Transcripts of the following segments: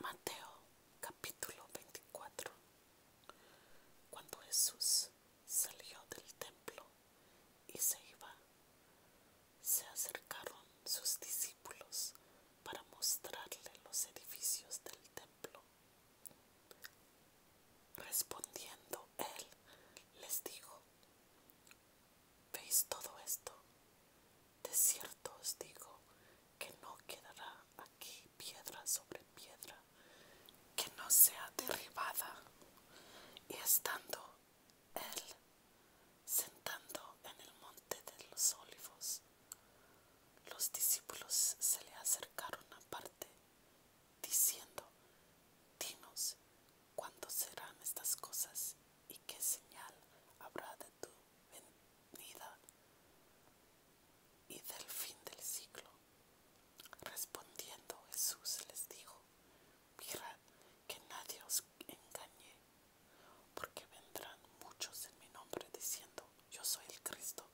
Mateo capítulo 24 Cuando Jesús salió del templo y se iba, se acercaron sus discípulos para mostrarle los edificios del templo. Respondiendo él, les dijo, ¿veis todo esto? De cierto os digo que no quedará aquí piedra sobre piedra que no sea derribada. Y estando él sentando en el monte de los olivos, los discípulos se le acercaron aparte, diciendo, Dinos, ¿cuándo serán estas cosas y qué señal habrá de tú? venida y del fin del siglo. Respondiendo Jesús les dijo, mirad que nadie os engañe, porque vendrán muchos en mi nombre diciendo, yo soy el Cristo,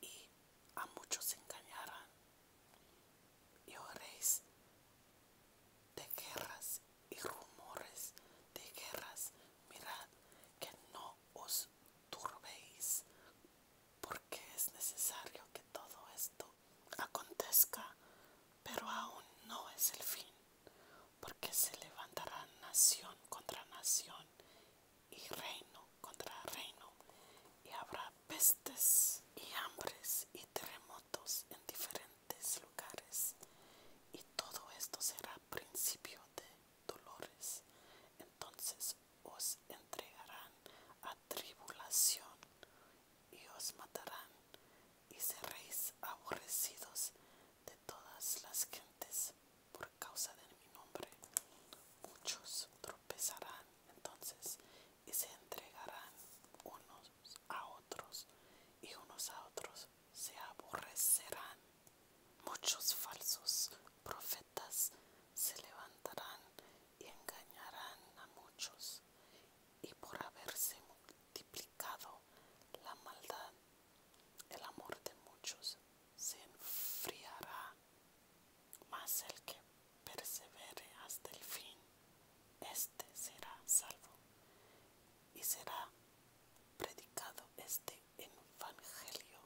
y a muchos engañarán. Y oréis de guerras y rumores de guerras, mirad que no os turbéis, porque es necesario que todo esto acontezca, pero aún no es el fin, porque se levantará nación contra nación y reino contra reino, y habrá pestes y hambres y terremotos en diferentes lugares, y todo esto será principio de dolores, entonces os entregarán a tribulación y os matarán y seréis aborrecidos de todas las gentes por causa de mi nombre. Muchos tropezarán entonces y se entregarán unos a otros y unos a otros se aborrecerán. Muchos falsos profetas se levantarán y engañarán a muchos, y por haberse multiplicado la maldad, el amor de muchos se enfriará, mas el que persevere hasta el fin, este será salvo y será predicado este evangelio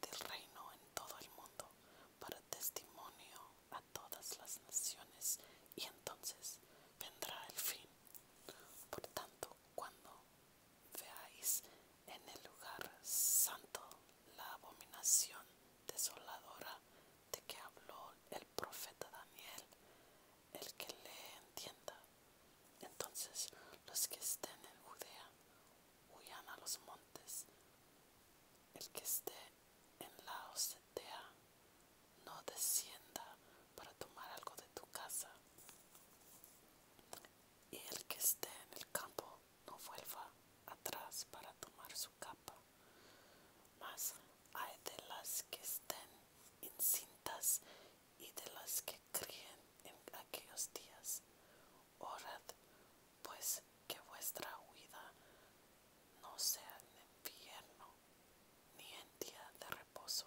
del reino en todo el mundo para testimonio a todas las naciones y entonces vendrá el fin. Por tanto, cuando veáis en el lugar santo la abominación desoladora de que habló el profeta Daniel, el que le entienda. Entonces los que estén en Judea huyan a los montes. El que esté en la Ocetea no descienda para tomar algo de tu casa. Y el que esté en el campo no vuelva atrás para tomar su capa. Mas hay de las que estén incintas y de las que creen en aquellos días. Orad, pues, que vuestra huida no sea en invierno ni en día de reposo,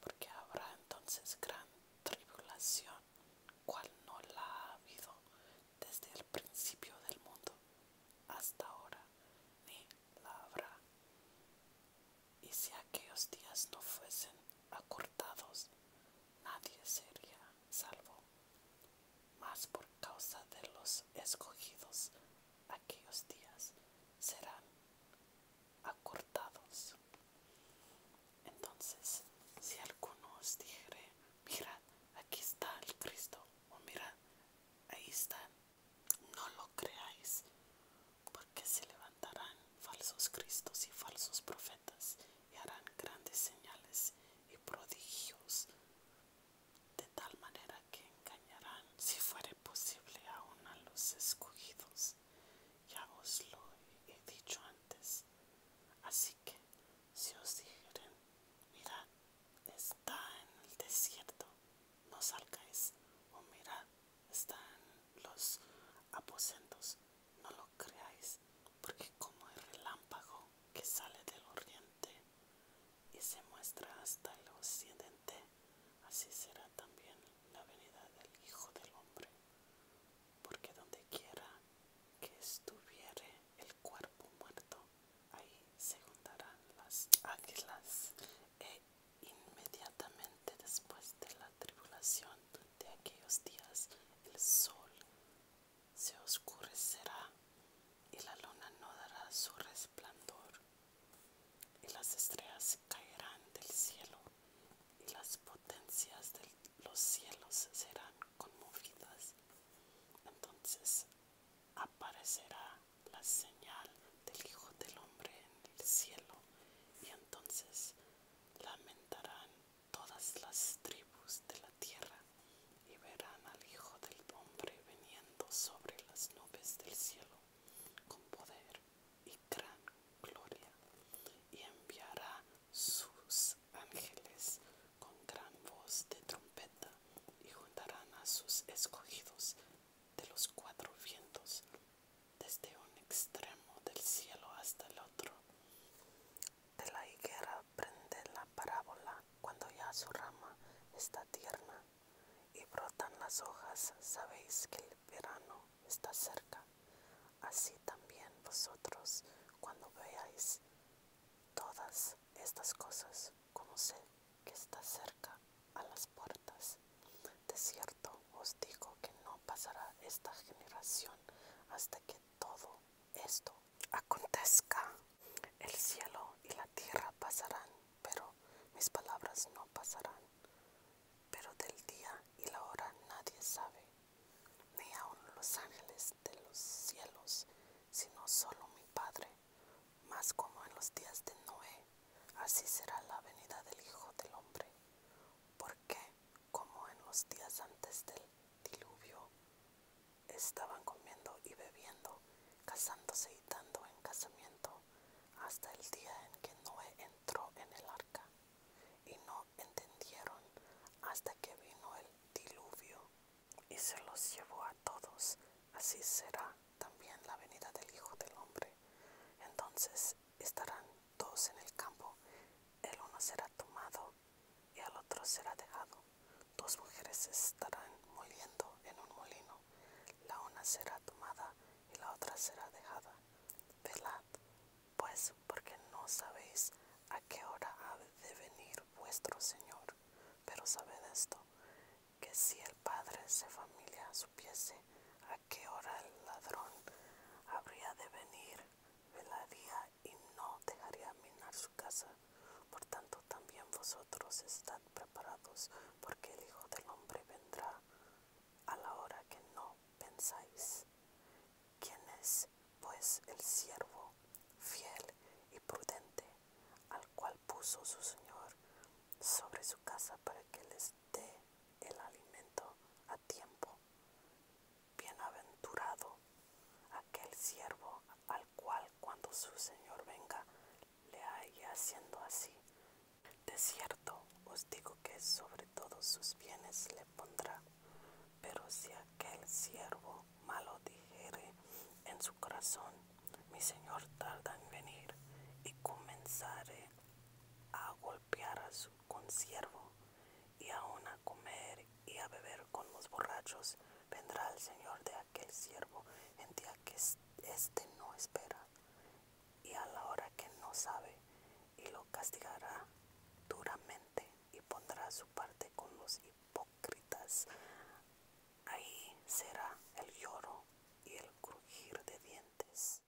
porque habrá entonces gran tribulación, cual no la ha habido desde el principio del mundo hasta ahora, ni la habrá y si aquellos días no fuesen acortados, nadie sería salvo. Mas por causa de los escogidos, aquellos días serán acortados. Entonces, si alguno os dijere, mira, aquí está el Cristo, o mira, ahí está, no lo creáis, porque se levantarán falsos cristos y falsos profetas y harán grandes señales y prodigios de tal manera que engañarán si fuere posible aún a los escogidos. Ya os lo he dicho antes. Así que si os dijeren, mirad, está en el desierto, no salgáis, o mirad, están los aposentos. No lo creáis, porque como el relámpago que sale del oriente y se muestra hasta el occidente, así será también la venida del Hijo del Hombre. Porque donde quiera que estuviere el cuerpo muerto, ahí se juntarán las águilas e Inmediatamente después de la tribulación de aquellos días, el sol se oscurecerá y la luna no dará su resplandor, y las estrellas caerán del cielo, y las potencias de los cielos serán conmovidas. Entonces aparecerá la señal del Hijo del Hombre en el cielo y entonces lamentarán todas las tribus de la tierra y verán al Hijo del Hombre veniendo sobre las nubes del cielo con poder y gran gloria y enviará sus ángeles con gran voz de trompeta y juntarán a sus escogidos de los cuatro vientos desde un extremo del cielo hasta el otro. De la higuera prende la parábola cuando ya su rama está tierna y brotan las hojas, sabéis que el verano está cerca. Así también vosotros, cuando veáis todas estas cosas, sé que está cerca a las puertas. De cierto os digo que no pasará esta generación hasta que todo esto acontezca. El cielo y la tierra pasarán, pero mis palabras no pasarán. Pero del día y la hora nadie sabe, ni aun los ángeles de los cielos, sino solo mi Padre. Más como en los días de Noé, así será la venida del Hijo del Hombre porque, como en los días antes del diluvio, estaban comiendo y bebiendo, casándose y dando en casamiento, hasta el día en que Noé entró en el arca, y no entendieron hasta que vino el diluvio y se los llevó a todos. Así será también la venida del Hijo del Hombre. Entonces estarán dos en el campo, el uno será tomado y el otro será dejado. Dos mujeres estarán moliendo en un molino, la una será tomada y la otra será dejada. Velad, pues, porque no sabéis a qué hora ha de venir vuestro Señor. Pero sabed esto, que si el Padre de familia supiese que qué hora el ladrón habría de venir, día y no dejaría minar su casa. Por tanto, también vosotros estad preparados, porque el Hijo del Hombre vendrá a la hora que no pensáis. ¿Quién es, pues, el siervo fiel y prudente, al cual puso su Señor sobre su casa para que les dé el alimento? tiempo. Bienaventurado aquel siervo al cual cuando su Señor venga le haya haciendo así. De cierto os digo que sobre todos sus bienes le pondrá. Pero si aquel siervo malo dijere en su corazón, mi Señor tarda en venir, y comenzare a golpear a su con siervo, y aun a comer y a beber con los borrachos, vendrá el Señor de aquel siervo en día que éste no espera, y a la hora que no sabe, y lo castigará duramente, y pondrá su parte con los hipócritas. Ahí será el lloro y el crujir de dientes.